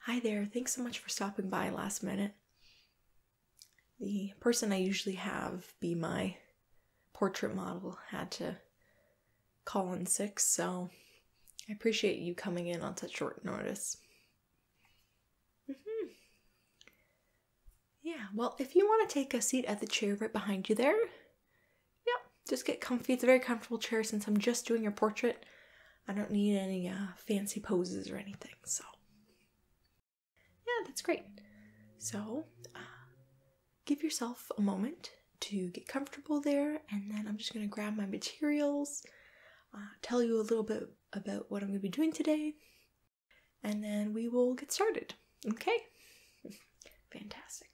Hi there, thanks so much for stopping by last minute. The person I usually have be my portrait model had to call in sick, so I appreciate you coming in on such short notice. Mm-hmm. Yeah, well, if you want to take a seat at the chair right behind you there, yeah, just get comfy. It's a very comfortable chair since I'm just doing your portrait. I don't need any uh, fancy poses or anything. So, yeah, that's great. So, uh, give yourself a moment to get comfortable there, and then I'm just going to grab my materials, uh, tell you a little bit about what I'm going to be doing today, and then we will get started. Okay? Fantastic.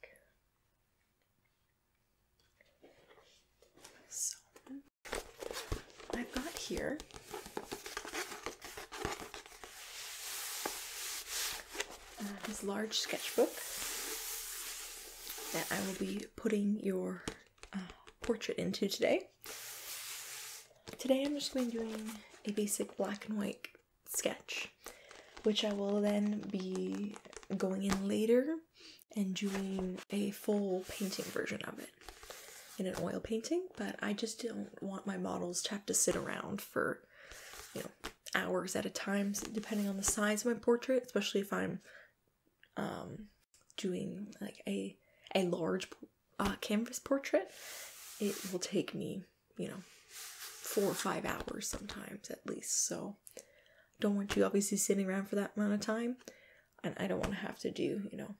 So I've got here uh, this large sketchbook that I will be putting your uh, portrait into today. Today I'm just going to be doing a basic black and white sketch, which I will then be going in later and doing a full painting version of it in an oil painting, but I just don't want my models to have to sit around for, you know, hours at a time, depending on the size of my portrait, especially if I'm um, doing like a, a large uh, canvas portrait. It will take me, you know, four or five hours sometimes at least. So don't want you obviously sitting around for that amount of time and i don't want to have to do you know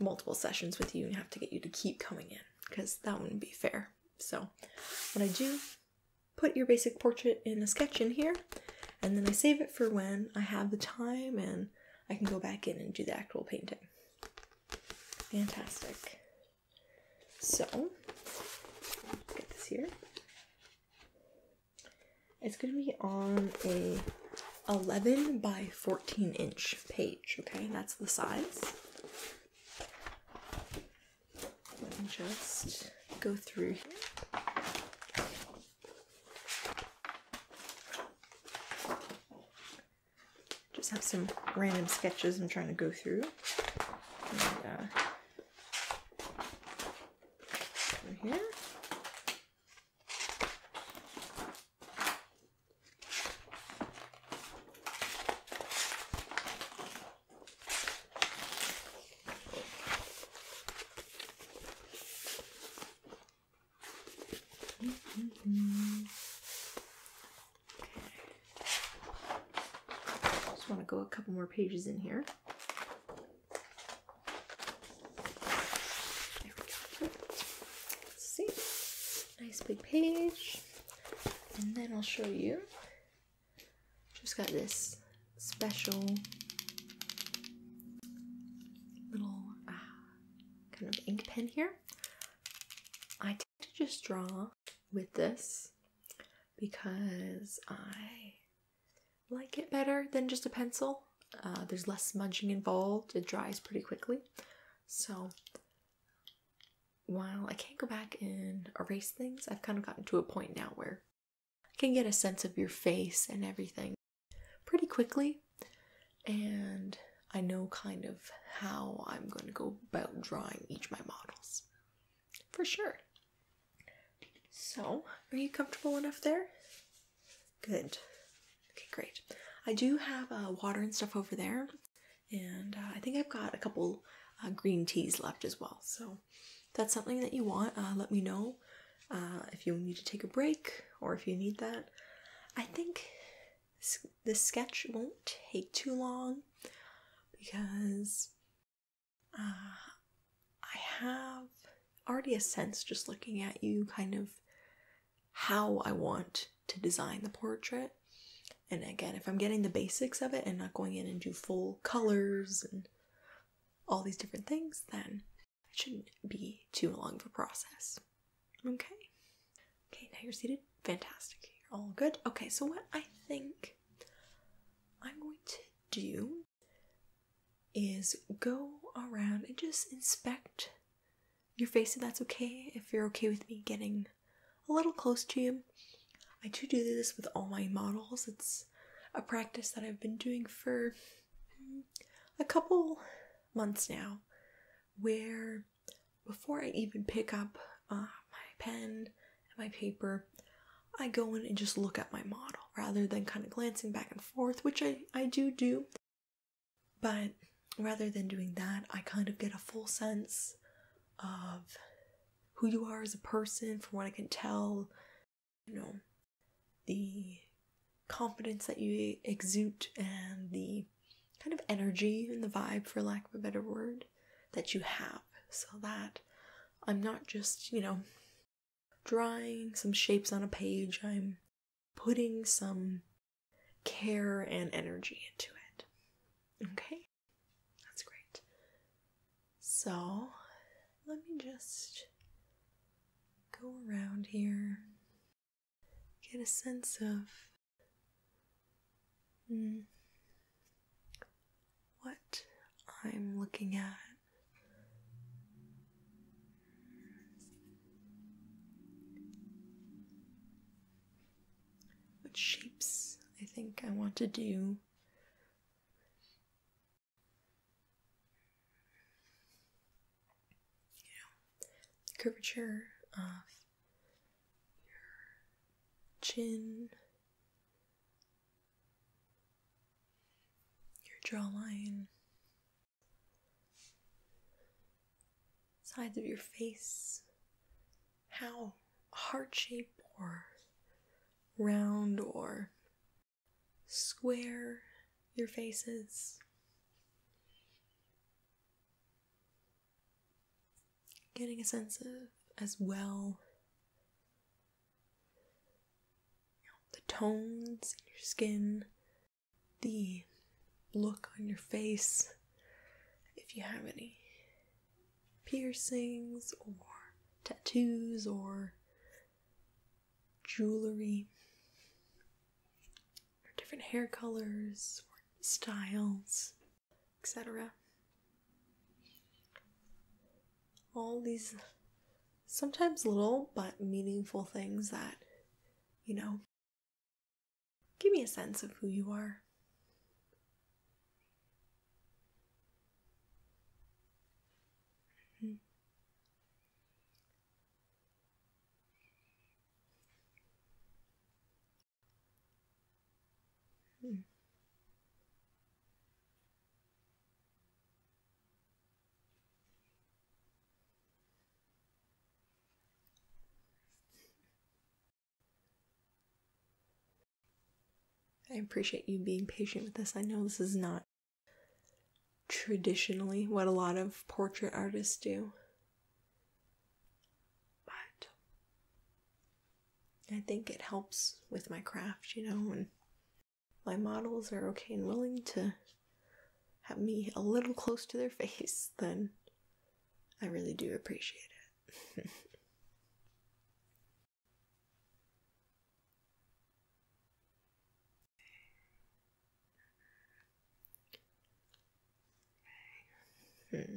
multiple sessions with you and have to get you to keep coming in because that wouldn't be fair so what i do put your basic portrait in a sketch in here and then i save it for when i have the time and i can go back in and do the actual painting fantastic so get this here it's gonna be on a 11 by 14 inch page. Okay, that's the size. Let me just go through here. Just have some random sketches I'm trying to go through. Uh, over here. Just want to go a couple more pages in here. There we go. see. Nice big page. And then I'll show you. Just got this special little uh, kind of ink pen here. I tend to just draw with this because I like it better than just a pencil. Uh, there's less smudging involved, it dries pretty quickly. So, while I can't go back and erase things, I've kind of gotten to a point now where I can get a sense of your face and everything pretty quickly. And I know kind of how I'm going to go about drawing each of my models. For sure. So, are you comfortable enough there? Good. Okay, great. I do have uh, water and stuff over there, and uh, I think I've got a couple uh, green teas left as well. So, if that's something that you want, let me know if you need to take a break or if you need that. I think this sketch won't take too long because uh, I have already a sense just looking at you, kind of how I want to design the portrait. And again, if I'm getting the basics of it and not going in and do full colors and all these different things, then it shouldn't be too long of a process. Okay. Okay, now you're seated. Fantastic. You're all good. Okay, so what I think I'm going to do is go around and just inspect your face if that's okay, if you're okay with me getting a little close to you. I do do this with all my models. It's a practice that I've been doing for hmm, a couple months now, where before I even pick up uh, my pen and my paper, I go in and just look at my model rather than kind of glancing back and forth, which I, I do do. But rather than doing that, I kind of get a full sense of who you are as a person from what I can tell, you know, the confidence that you exude and the kind of energy and the vibe, for lack of a better word, that you have. So that I'm not just, you know, drawing some shapes on a page. I'm putting some care and energy into it. Okay? That's great. So, let me just go around here, get a sense of hmm, what I'm looking at. What shapes I think I want to do. You know, the curvature of your chin, your jawline, sides of your face, how heart shape or round or square your faces, Getting a sense of as well the tones in your skin, the look on your face, if you have any piercings or tattoos or jewelry or different hair colors or styles, etc all these sometimes little but meaningful things that, you know, give me a sense of who you are. Mm-hmm. I appreciate you being patient with this. I know this is not traditionally what a lot of portrait artists do. But I think it helps with my craft, you know, and my models are okay and willing to have me a little close to their face, then I really do appreciate it. hmm.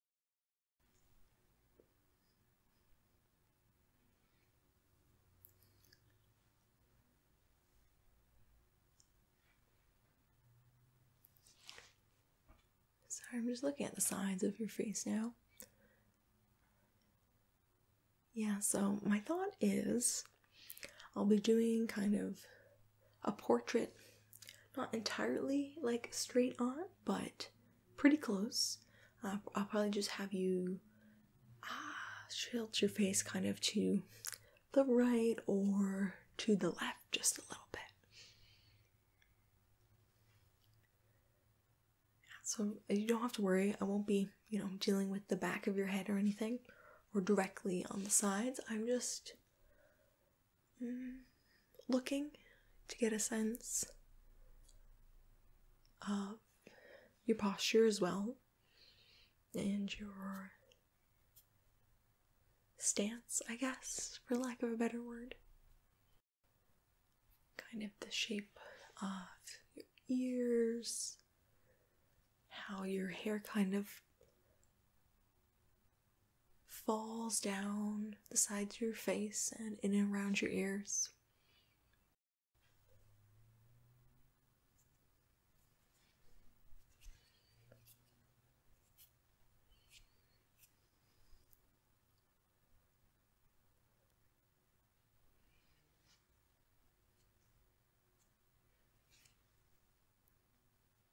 Sorry, I'm just looking at the sides of your face now. Yeah, so my thought is I'll be doing kind of a portrait. Not entirely like straight on, but pretty close. Uh, I'll probably just have you ah, tilt your face kind of to the right or to the left just a little bit. So you don't have to worry. I won't be, you know, dealing with the back of your head or anything or directly on the sides. I'm just looking to get a sense of your posture as well and your stance, I guess, for lack of a better word. Kind of the shape of your ears, how your hair kind of falls down the sides of your face and in and around your ears.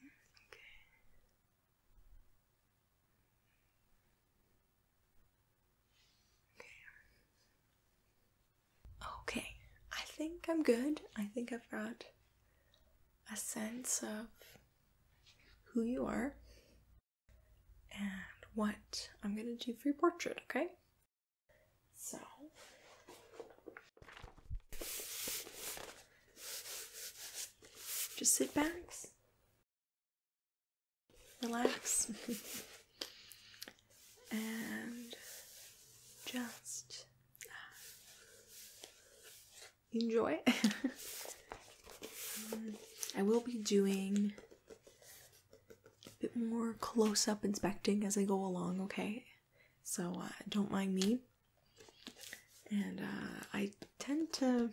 Okay. Okay. Okay. I think I'm good. I think I've got a sense of who you are and what I'm going to do for your portrait, okay? So just sit back, relax, and just uh, enjoy. Um, I will be doing a bit more close up inspecting as I go along, okay? so uh, don't mind me. And uh, I tend to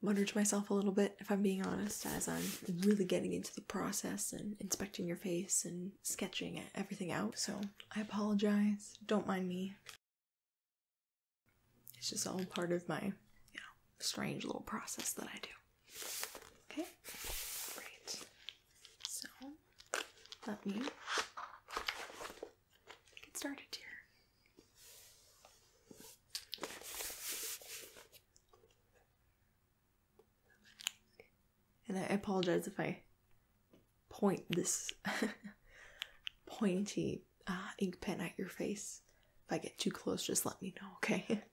mutter to myself a little bit, if I'm being honest, as I'm really getting into the process and inspecting your face and sketching everything out. So I apologize. Don't mind me. It's just all part of my, you know, strange little process that I do. Okay, great. So let me get started here. And I apologize if I point this pointy uh, ink pen at your face. If I get too close, just let me know, okay?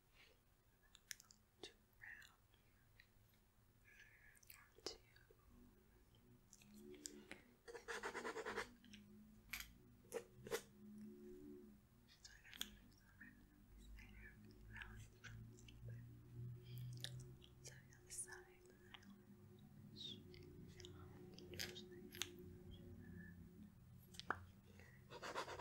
Too round. Two. So I got some random later. That was So I got the side that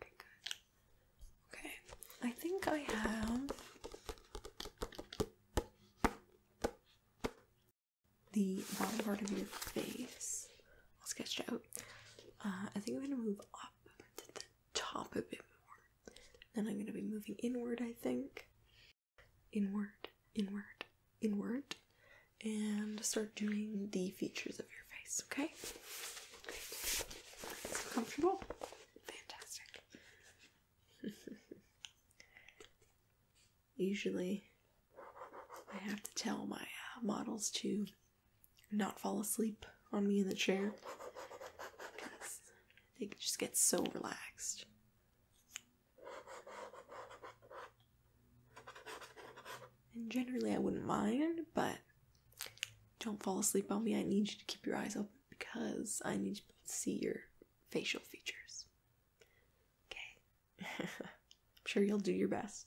Okay, good. Okay, I think I have the bottom part of your face. I'll sketch out. Uh, I think I'm gonna move up to the top a bit more. and I'm gonna be moving inward, I think. Inward, inward, inward and start doing the features of your face, okay? comfortable? Fantastic. Usually, I have to tell my uh, models to not fall asleep on me in the chair because they just get so relaxed. And generally, I wouldn't mind, but don't fall asleep on me. I need you to keep your eyes open because I need to see your facial features. Okay. I'm sure you'll do your best.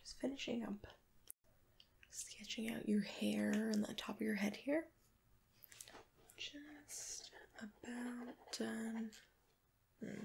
Just finishing up sketching out your hair on the top of your head here. Just about done. Hmm.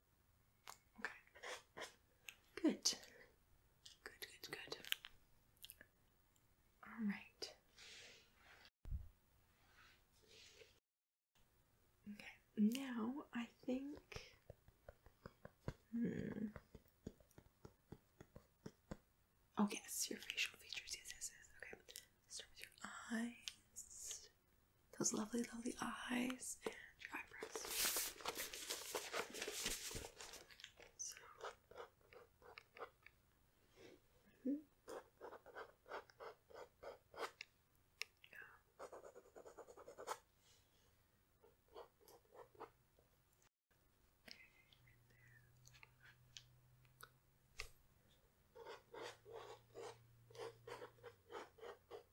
Okay. Good. Good, good, good. All right. Okay, now I think. Hmm. Oh, yes, your facial features. Yes, yes, yes. Okay. Start with your eyes those lovely, lovely eyes and your eyebrows. So. Mm mm-hmm.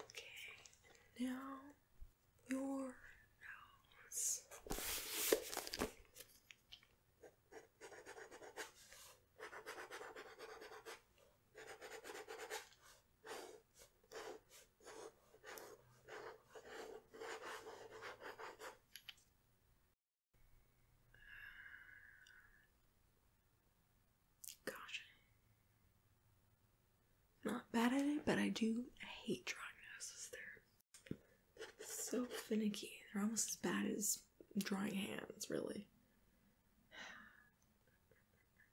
Okay, and now your nose. Gosh. Not bad at it, but I do hate drawing noses. They're so finicky. They're almost as bad as drawing hands, really.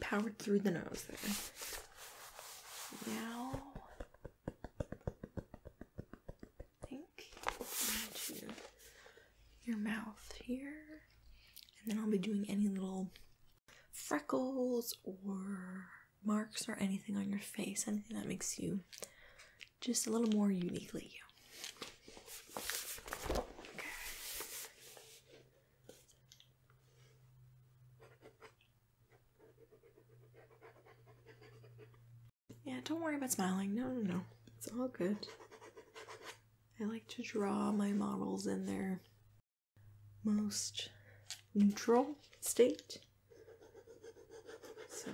Powered through the nose there. Now, I think into your mouth here, and then I'll be doing any little freckles or marks or anything on your face, anything that makes you just a little more uniquely you. Yeah, don't worry about smiling. No, no, no. It's all good. I like to draw my models in their most neutral state. So,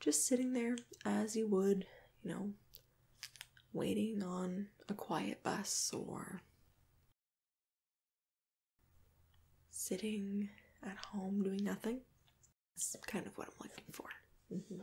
just sitting there as you would, you know, waiting on a quiet bus or Sitting at home doing nothing. That's kind of what I'm looking for. Mm-hmm.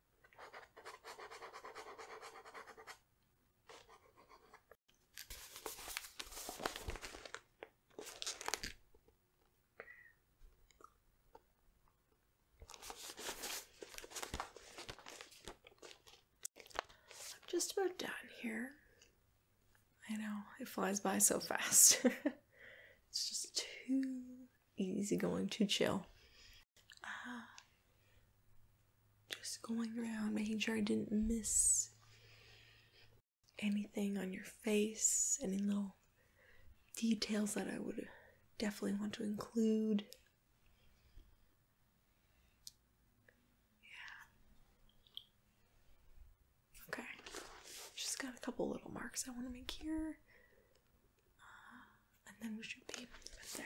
I'm just about done here. I know, it flies by so fast. it's just too easy going, too chill. Ah. Just going around making sure I didn't miss anything on your face, any little details that I would definitely want to include. Yeah. Okay. Just got a couple little marks I want to make here. Ah, and then we should be right there.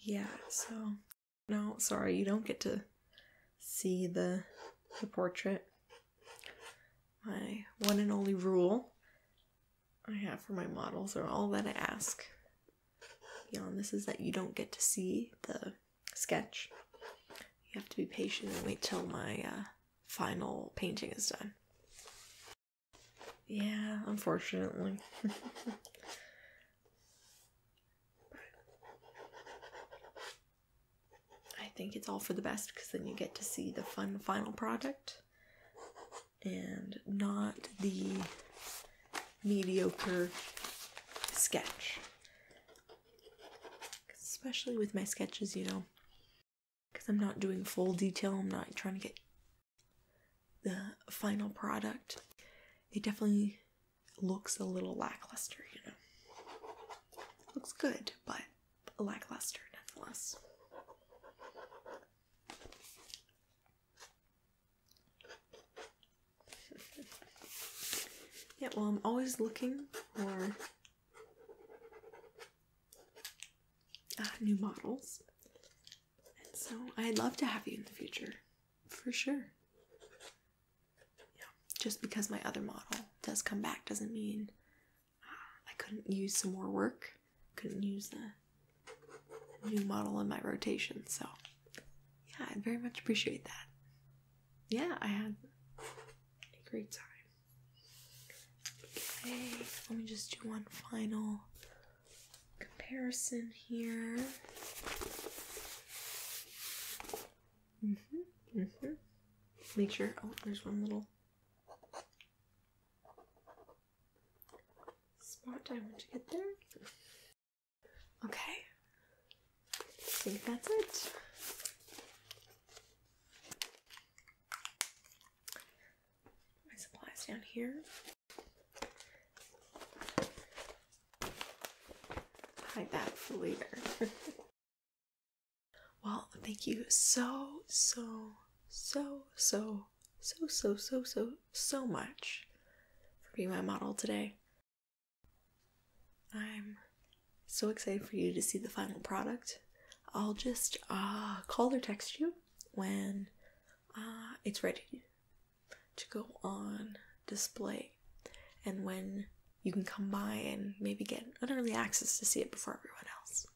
yeah so no sorry you don't get to see the the portrait my one and only rule I have for my models, or all that I ask beyond this, is that you don't get to see the sketch. You have to be patient and wait till my uh, final painting is done. Yeah, unfortunately. I think it's all for the best because then you get to see the fun final product and not the mediocre sketch. Especially with my sketches, you know, because I'm not doing full detail, I'm not trying to get the final product. It definitely looks a little lackluster, you know. Looks good, but lackluster nonetheless. yeah, well, I'm always looking for uh, new models, and so I'd love to have you in the future for sure. Yeah, just because my other model does come back doesn't mean I couldn't use some more work. Couldn't use the new model in my rotation. So, yeah, I very much appreciate that. Yeah, I had a great time. Okay, let me just do one final comparison here. hmm hmm Make sure, oh, there's one little Smart diamond to get there. Okay. see if that's it. My supplies down here. Hide that for later. Well, thank you so, so, so, so, so, so, so, so, so much for being my model today. I'm so excited for you to see the final product. I'll just uh, call or text you when uh, it's ready to go on display and when you can come by and maybe get an early access to see it before everyone else.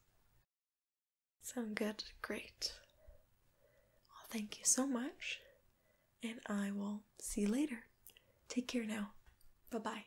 Sound good? Great. Well, thank you so much, and I will see you later. Take care now. Bye bye.